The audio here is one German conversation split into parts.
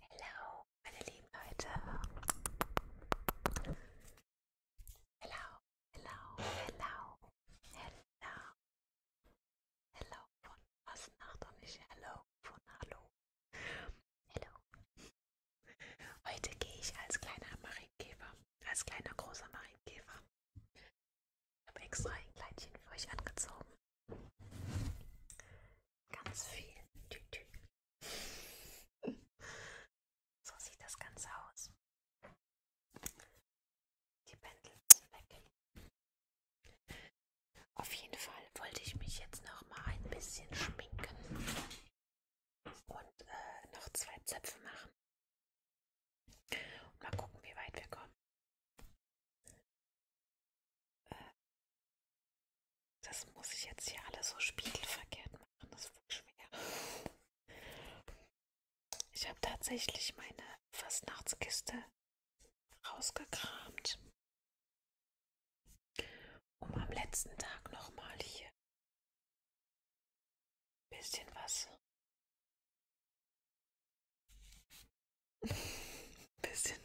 Hello, meine lieben Leute. Hello, hello, hello, hello. Hello von Fastnacht und nicht hello von Hallo. Hello. Heute gehe ich als kleiner Marienkäfer, als kleiner großer Marienkäfer. Ich habe extra ein Kleidchen für euch angezogen. Ganz viel. So sieht das Ganze aus. Die Pendel sind weg. Auf jeden Fall wollte ich mich jetzt noch mal ein bisschen schminken und äh, noch zwei Zöpfe machen. Und mal gucken, wie weit wir kommen. Äh, das muss ich jetzt hier alles so spiegelverkehrt machen. Das wird schwer. Ich habe tatsächlich meine Fastnachtskiste rausgekramt, um am letzten Tag nochmal hier ein bisschen was bisschen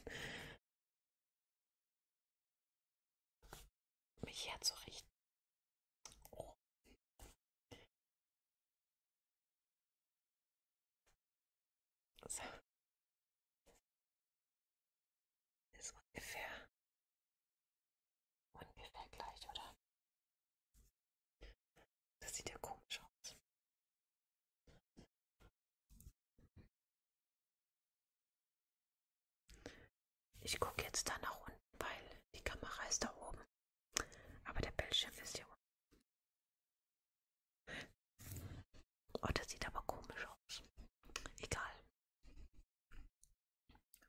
mich herzurichten. Oh. So. Ist ungefähr ungefähr gleich, oder? Das sieht ja komisch aus. Ich gucke jetzt da nach unten, weil die Kamera ist da oben. Aber der Bildschirm ist hier unten. Oh, das sieht aber komisch aus. Egal.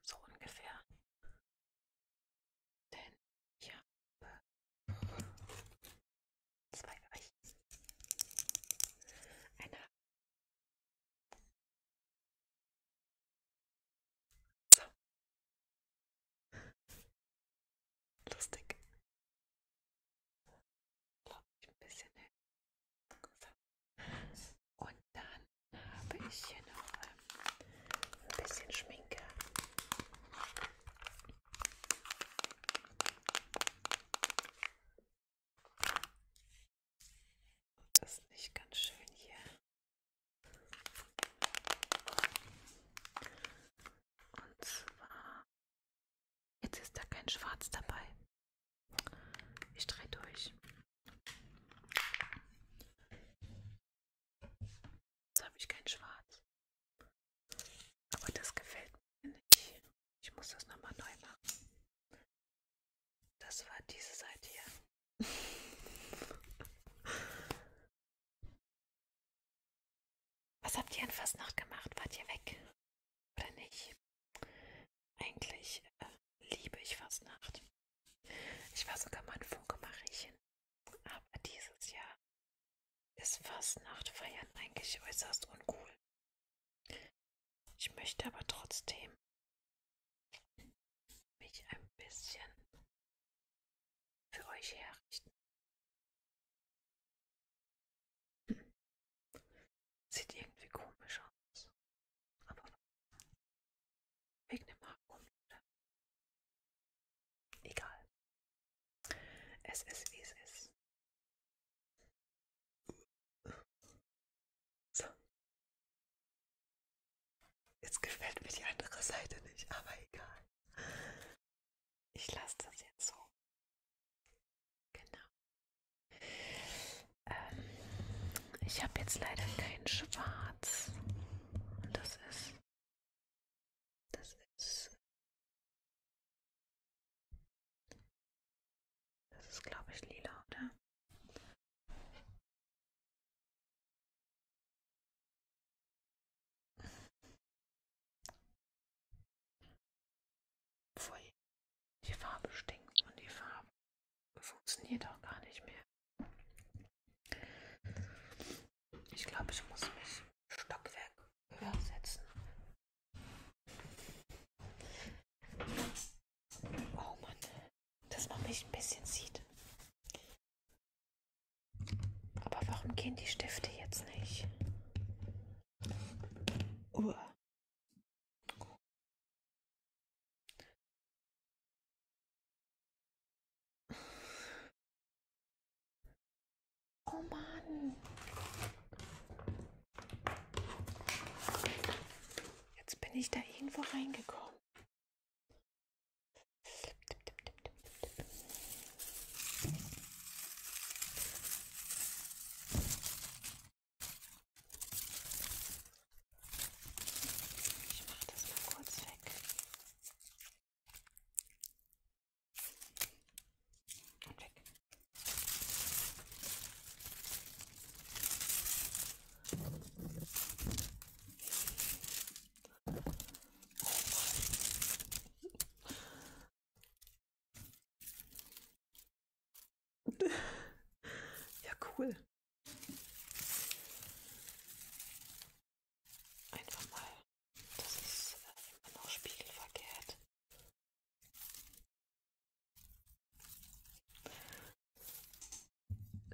So ungefähr. Denn ich habe Zwei für euch. Eine. So. Lustig. Ich ein bisschen hin. So. Und dann habe ich hier noch ähm, ein bisschen Schminke. Das ist nicht ganz schön hier. Und zwar. Jetzt ist da kein Schwarz dabei. Ich drehe durch. Jetzt habe ich kein Schwarz. Aber das gefällt mir nicht. Ich muss das nochmal neu machen. Das war diese Seite hier. Was habt ihr in Fastnacht gemacht? Wart ihr weg? Oder nicht? Eigentlich äh, liebe ich Fastnacht. Ich war sogar mal ein Funke-Mariechen. Aber dieses Jahr ist Fastnacht feiern eigentlich äußerst uncool. Ich möchte aber trotzdem mich ein bisschen für euch herrichten. Hm. Sieht irgendwie komisch aus. Aber wegen dem Haargummi. Egal. Es ist wie es ist. So. Jetzt gefällt mir die andere Seite nicht, aber egal. Ich lasse das jetzt so. Genau. Ähm, ich habe jetzt leider kein Schwarz. Das ist. Das ist das ist, glaube ich, lila, oder? Pfui. Die Farbe stinkt und die Farbe funktioniert auch gar nicht mehr. Ich glaube, ich muss mich Stockwerk höher setzen, Oh Mann, dass man mich ein bisschen sieht. Aber warum gehen die Stifte jetzt nicht? Uah. Oh Mann. Jetzt bin ich da irgendwo reingekommen. Ich mache das mal kurz weg. Und weg. ja, cool. Einfach mal. Das ist äh, immer noch spiegelverkehrt.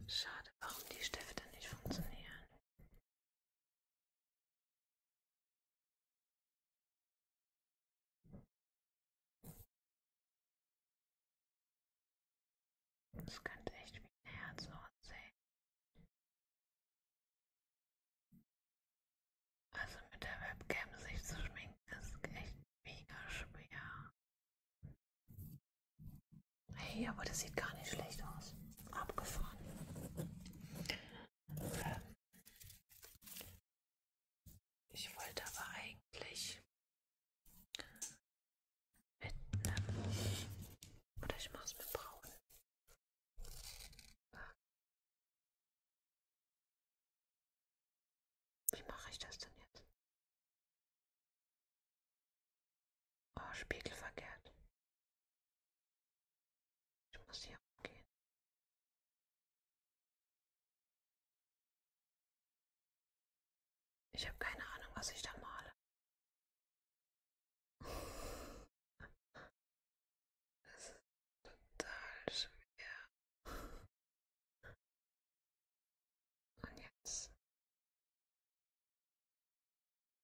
Schade, warum die Stifte nicht funktionieren. Das könnte echt wie ein Herz aussehen. Also mit der Webcam sich zu schminken ist echt mega schwer. Hey, aber das sieht gar nicht schlecht aus. Abgefahren. Ähm, ich wollte aber eigentlich mit einem oder ich mach's mit braun. Wie mache ich das denn jetzt? Oh, Spiegel verkehrt. Ich muss hier umgehen. Ich habe keine Ahnung, was ich da male. Das ist total schwer. Und jetzt.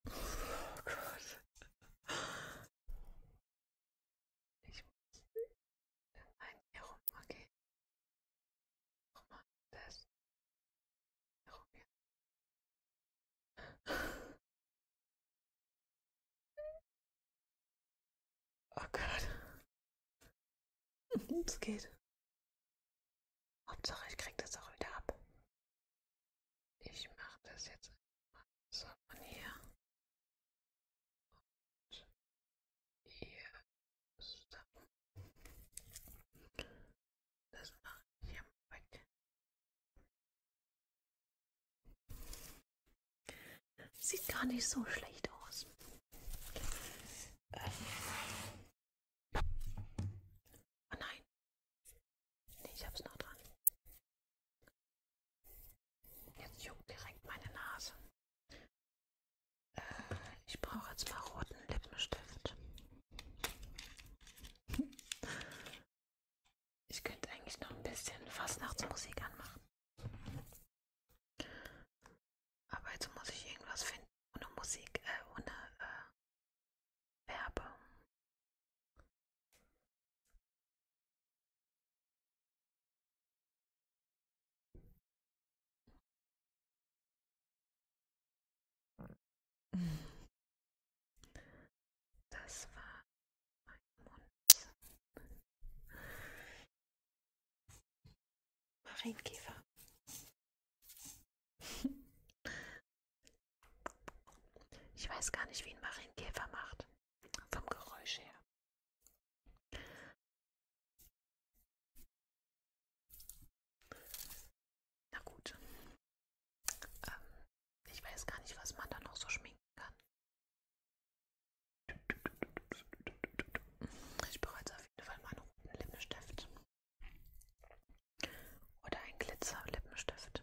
Oh Gott. Ich muss in ein herum gehen. Nochmal das. Herum hier. Oh Gott. Es geht. Hauptsache, ich krieg das auch wieder ab. Ich mach das jetzt mal so von hier. Und hier so. Das mache ich hier mal weg. Sieht gar nicht so schlecht aus. Ähm. Oh nein. Nee, ich hab's noch dran. Jetzt juckt direkt meine Nase. Äh, ich brauche jetzt mal roten Lippenstift. Ich könnte eigentlich noch ein bisschen Fastnachtsmusik anmachen. Aber jetzt muss ich irgendwas finden ohne Musik, äh, ohne äh, Werbung. Hm. Das war mein Mund. Marienkäfer. Ich weiß gar nicht, wie ein Marienkäfer macht. Vom Geräusch her. Na gut. Ähm, ich weiß gar nicht, was man da noch so schminken kann. Ich bereite auf jeden Fall mal einen roten Lippenstift. Oder ein Glitzer-Lippenstift.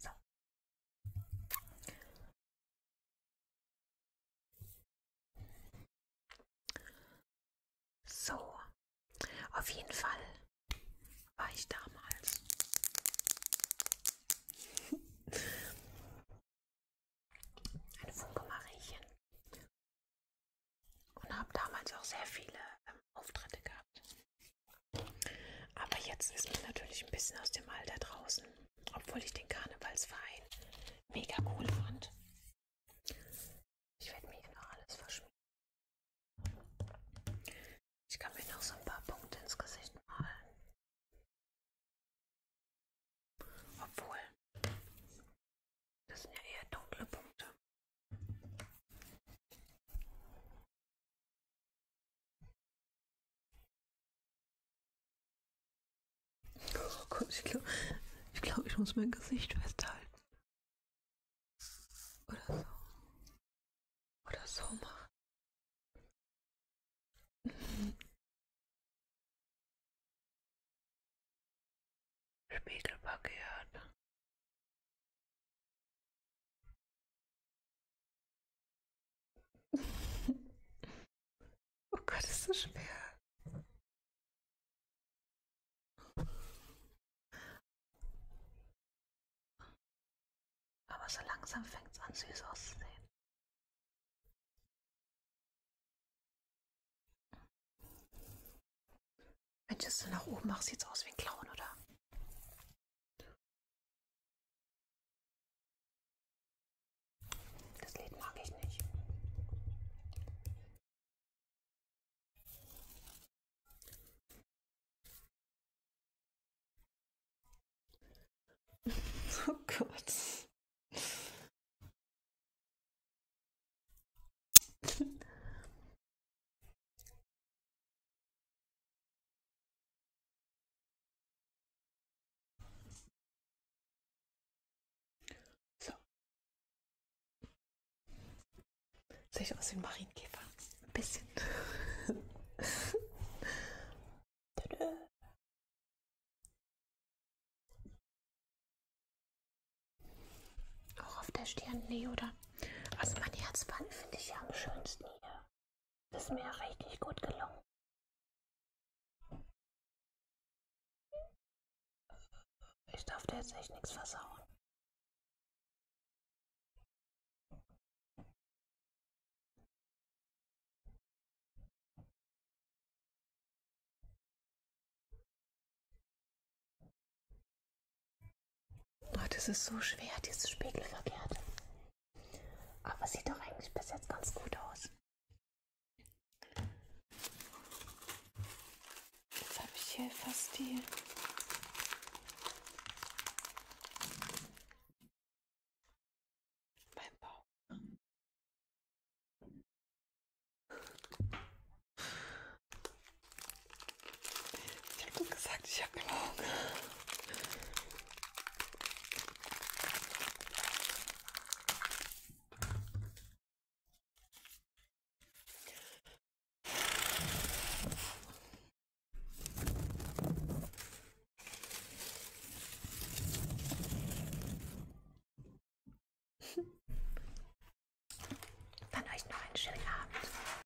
So. so, auf jeden Fall war ich damals. Eine Funke Mariechen. Und habe damals auch sehr viele ähm, Auftritte gehabt. Aber jetzt ist man natürlich ein bisschen aus dem Alter draußen, obwohl ich den Karnevalsverein mega cool fand. Ich werde mir hier noch alles verschmieren. Ich kann mir noch so ein paar Punkte ins Gesicht malen. Obwohl, das sind ja eher dunkle Punkte. Oh Gott, ich glaube, ich, glaub, ich muss mein Gesicht festhalten. Oder so. Oder so machen. Spiegelverkehrt oh Gott, ist so schwer. Aber so langsam fängt es an, süß auszusehen. Wenn ich es so nach oben mache, sieht es aus wie ein Clown, oder? Das Lied mag ich nicht. Oh Gott. So. Sieht aus wie ein Marienkäfer. Ein bisschen. Auch auf der Stirn Leoda. Also mein Herzband finde ich ja am schönsten hier. Das ist mir richtig gut gelungen. Ich darf dir jetzt echt nichts versauen. Oh, das ist so schwer, dieses Spiegelverkehrte. Aber sieht doch eigentlich bis jetzt ganz gut aus. Jetzt habe ich hier fast die beim Baum. Ich habe gesagt, ich habe immer Hunger. Dann euch noch einen schönen Abend.